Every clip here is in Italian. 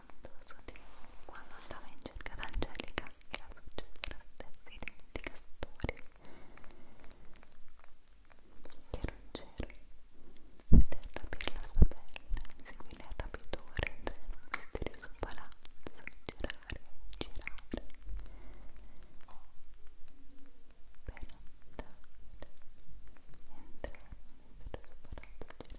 tanto scoprì quando andava in cerca d'Angelica e la succedeva la stessa identica storia che era un cero veder rapire la sua perla inseguire il rapitore entrare in un misterioso palazzo girare, girare per andare entrare in un misterioso palazzo girare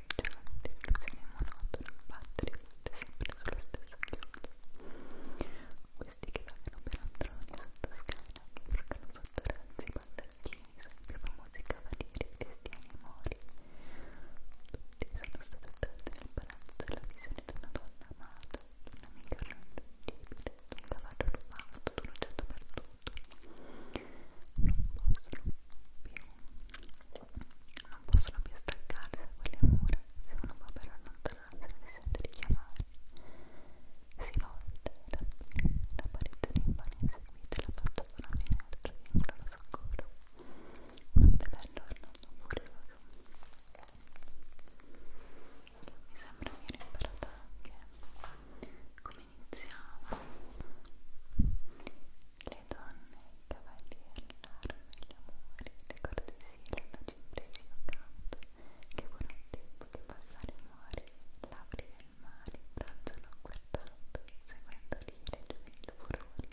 scoraggiante, illusione monotona, battere volte sempre sullo stesso chiodo. Questi che vagano per androni sotto scala, che brucano sotto razzi, baldacchini, sempre famosi cavalieri, cristiani e mori. Tutti sono stati attratti nel palazzo della visione di una donna amata, di un'amica raggiungibile, di un cavallo rubato, di un oggetto perduto. Non possono più non possono più staccarsi da quelle mura se uno va per allontanarsi si sente richiamare si volte la, la parete rimane inseguita la faccia da una finestra vincola lo soccorso quanto è bello Arnoldo Furioso mi sembra che viene imparata anche come iniziava le donne, i cavalli, l'arma, gli amori, le cortesie, le noci imprese o canto, che buon tempo che passare muore, labbri del mare, braccia non guardato, seguendo l'ire giovanili furori,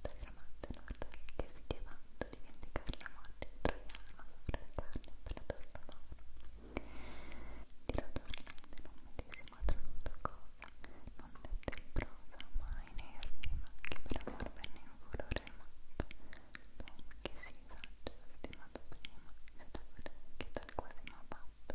da gramante nord che si diavando di vendicare la morte, troiano sopra la carne per la torna d'oro. Di rotornando in un medesimo tratto coro, non detta in prosa mai nei rima, che per amor venne in furore matta, l'uomo che si faccia stimato prima, se da che tal quasi m'ha fatto,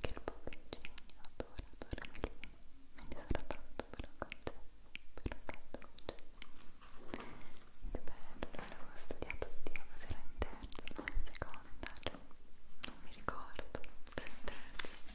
che il poco ingegno adora, adora mi lima, me ne sarà tanto per un concesso, per un canto concesso. Che bello, l'avevo studiato Dio, se era in terza, non in seconda, cioè, non mi ricordo se in terza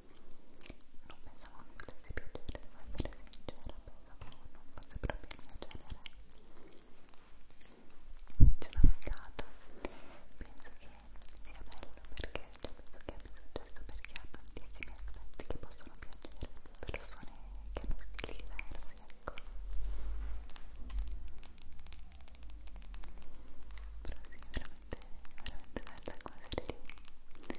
non pensavo mi potesse piacere, devo essere sincera, pensavo non fosse proprio il mio genere invece l'ho negato penso che sia bello perché cioè, penso che abbia successo perché ha tantissimi aspetti che possono piacere a persone che hanno stili diversi, ecco però sì, veramente, veramente bella quella serie lì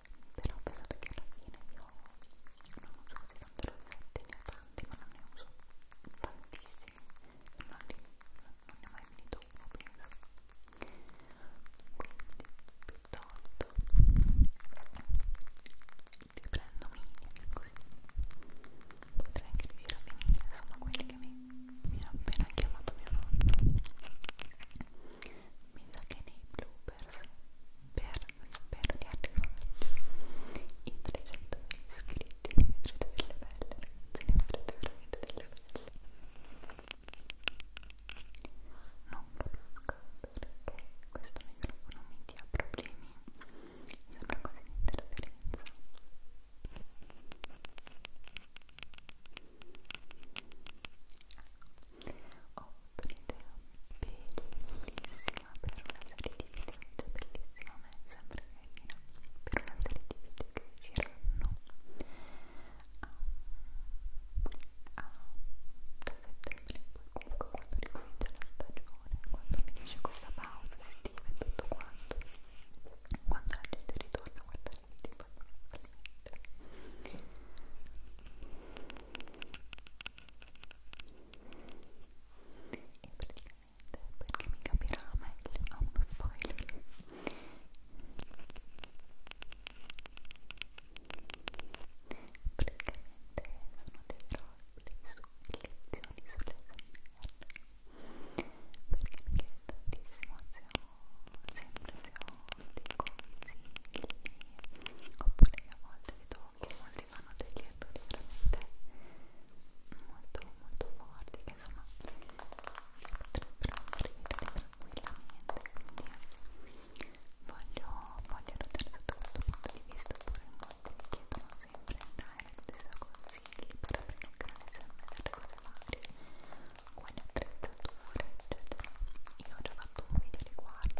però pensate che alla fine io non uso così tante rossette, ne ho tante ma non ne uso tantissime non, li, non ne ho mai finito uno penso quindi piuttosto li prendo mini ecco così potrei anche riuscire a finire insomma quelli che mi, mi ha appena chiamato mio nonno mi sa che nei bloopers per, spero di arrivare i 300 iscritti ne vedrete delle belle ragazzi ne vedrete veramente delle belle non capisco perché questo microfono mi dia problemi mi sembra quasi un'interferenza ok, ho avuto un'idea bellissima per una serie di video, cioè bellissima, ma è sempre carina, per una serie di video che usciranno a, a, da settembre, poi comunque quando ricomincia la stagione, quando finisce questa pausa estiva e tutto quanto, quando la gente ritorna a guardare i video, poi, perché mi capirà meglio a uno spoiler praticamente sono dei roleplay su lezioni sull'SMR perché mi chiede tantissimo se ho sempre dei consigli oppure a volte vedo che molti fanno degli errori veramente molto molto forti che insomma potrebbero rivedere tranquillamente quindi voglio voglio notare da questo punto di vista oppure molti mi chiedono sempre in direct se ho consigli per aprire un canale SMR cose varie quali attrezzature eccetera io ho già fatto un video riguardo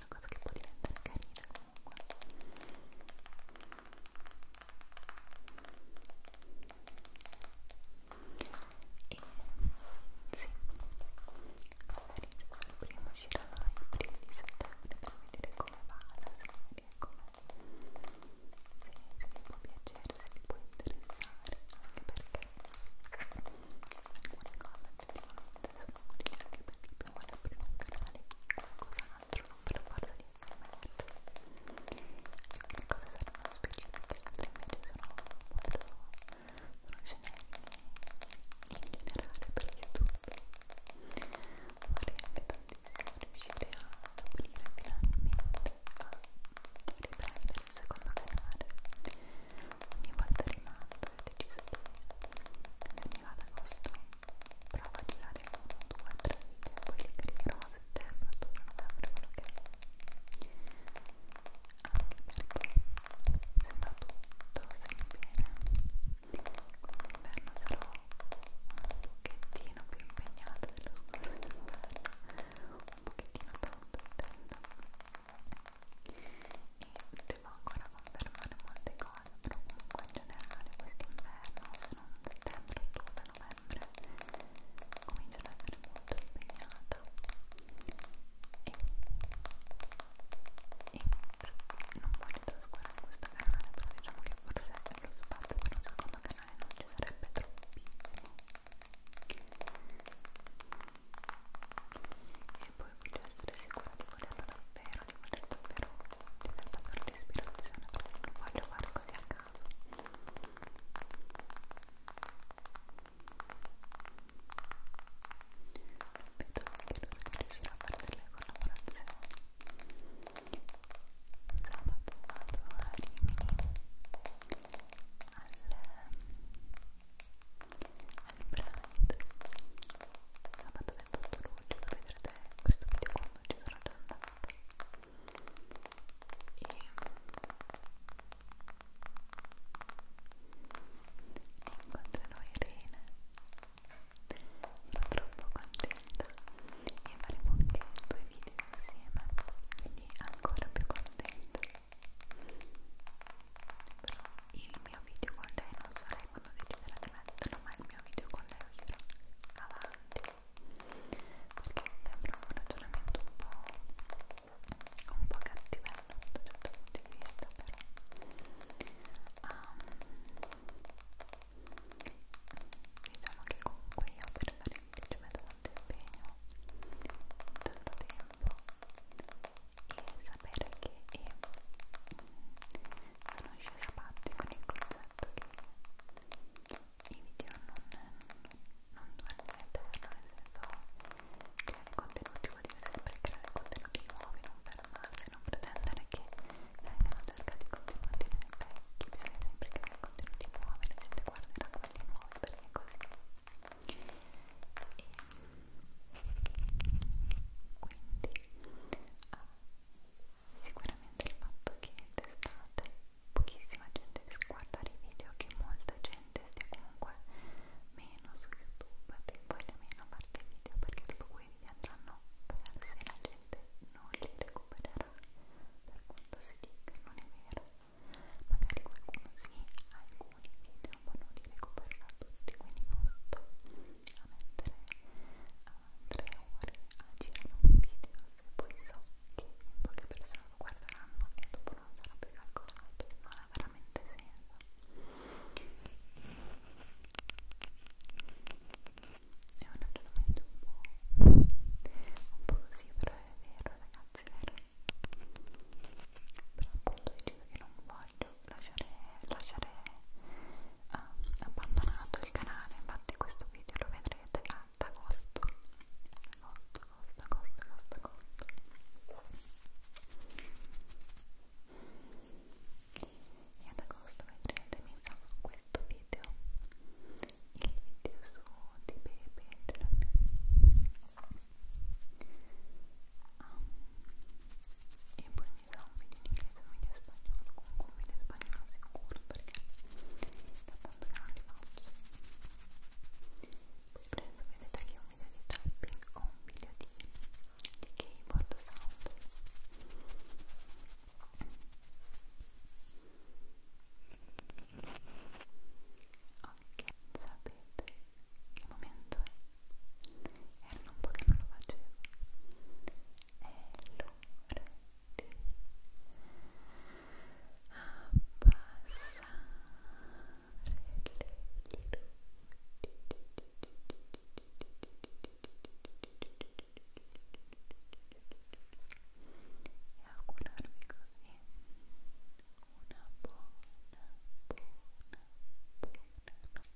una cosa che può diventare carina comunque e sì il primo uscirà il primo di settembre per vedere come va la serie come se ti può piacere se ti può interessare anche perché alcune cose buonanotte, ascolti anche perché più vuole aprire un canale qualcosa altro non ve lo guarda di SMR le cose saranno specifiche, altre invece sono molto sono generiche in generale per YouTube vorrei anche tantissimo riuscire a aprire finalmente a riprendere il secondo canale ogni volta rimando ho deciso di arriva ad agosto provo a tirare 1, 2, 3 video quelli che arriveranno a settembre, ottobre, novembre, quello che anche perché se va tutto sempre bene quest'inverno sarò un pochettino più impegnata dello scorso inverno un pochettino tanto intendo e potevo ancora confermare molte cose però comunque in generale quest'inverno se non settembre, ottobre, novembre comincio ad essere molto impegnata e, e non voglio trascurare questo canale però diciamo che forse lo spazio per un secondo canale non ci sarebbe troppissimo e poi voglio essere sicura di volerlo davvero però li vorrei davvero ti dà davvero l'ispirazione perché non voglio fare così a caso vedo che dovrete riuscire a fare delle collaborazioni sabato vado a Rimini al al Pride sabato 24 28 luglio lo vedrete questo video quando ci sarà già andato e incontrerò Irene sono troppo contenta e faremo anche due video insieme quindi ancora più contenta però il mio video con lei non sarei quando deciderà di metterlo ma il mio video con lei uscirà avanti perché sembra un ragionamento un po' un po' cattivello da un certo punto di vista però um, diciamo che comunque io per fare il video ci metto tanto impegno tanto tempo e sapere che eh, sono scesa parte con il concetto che i video non, non, non durano in eterno, nel senso creare contenuti vuol dire sempre creare contenuti nuovi, non fermarsi, non pretendere che vengano cercati contenuti nei vecchi, bisogna sempre creare contenuti nuovi, la gente guarderà quelli nuovi perché è così. E, quindi eh, sicuramente il fatto che d'estate pochissima gente guarda i video che molta gente stia comunque meno su youtube e voglia meno a parte i video perché dopo quei video andranno persi la gente non li recupererà per quanto si dica non è vero magari qualcuno sì alcuni video ma non li recupererà tutti quindi non sto riuscirò a mettere uh, 3 ore a girare un video e poi so che in poche persone lo guarderanno e dopo non sarà più calcolato, non ha veramente senso. È un ragionamento un po', un po' così, però è vero ragazzi, è vero. Però appunto deciso che non voglio lasciare, lasciare uh, abbandonato il canale, infatti questo video lo vedrete ad agosto agosto, agosto, agosto, agosto, agosto e ad agosto vedrete mi farò questo video il video su di Pepe e ah. poi media un video in inglese, un media spagnolo, comunque un media spagnolo sicuro perché da tanto che non li faccio. Poi prendo, vedete che ho un video di tapping o un video di, di keyboard sound. Ok, sapete che momento è? Era un po' che non lo facevo. È l'ora di abbassare le e augurarvi così una buona, buona, buona notte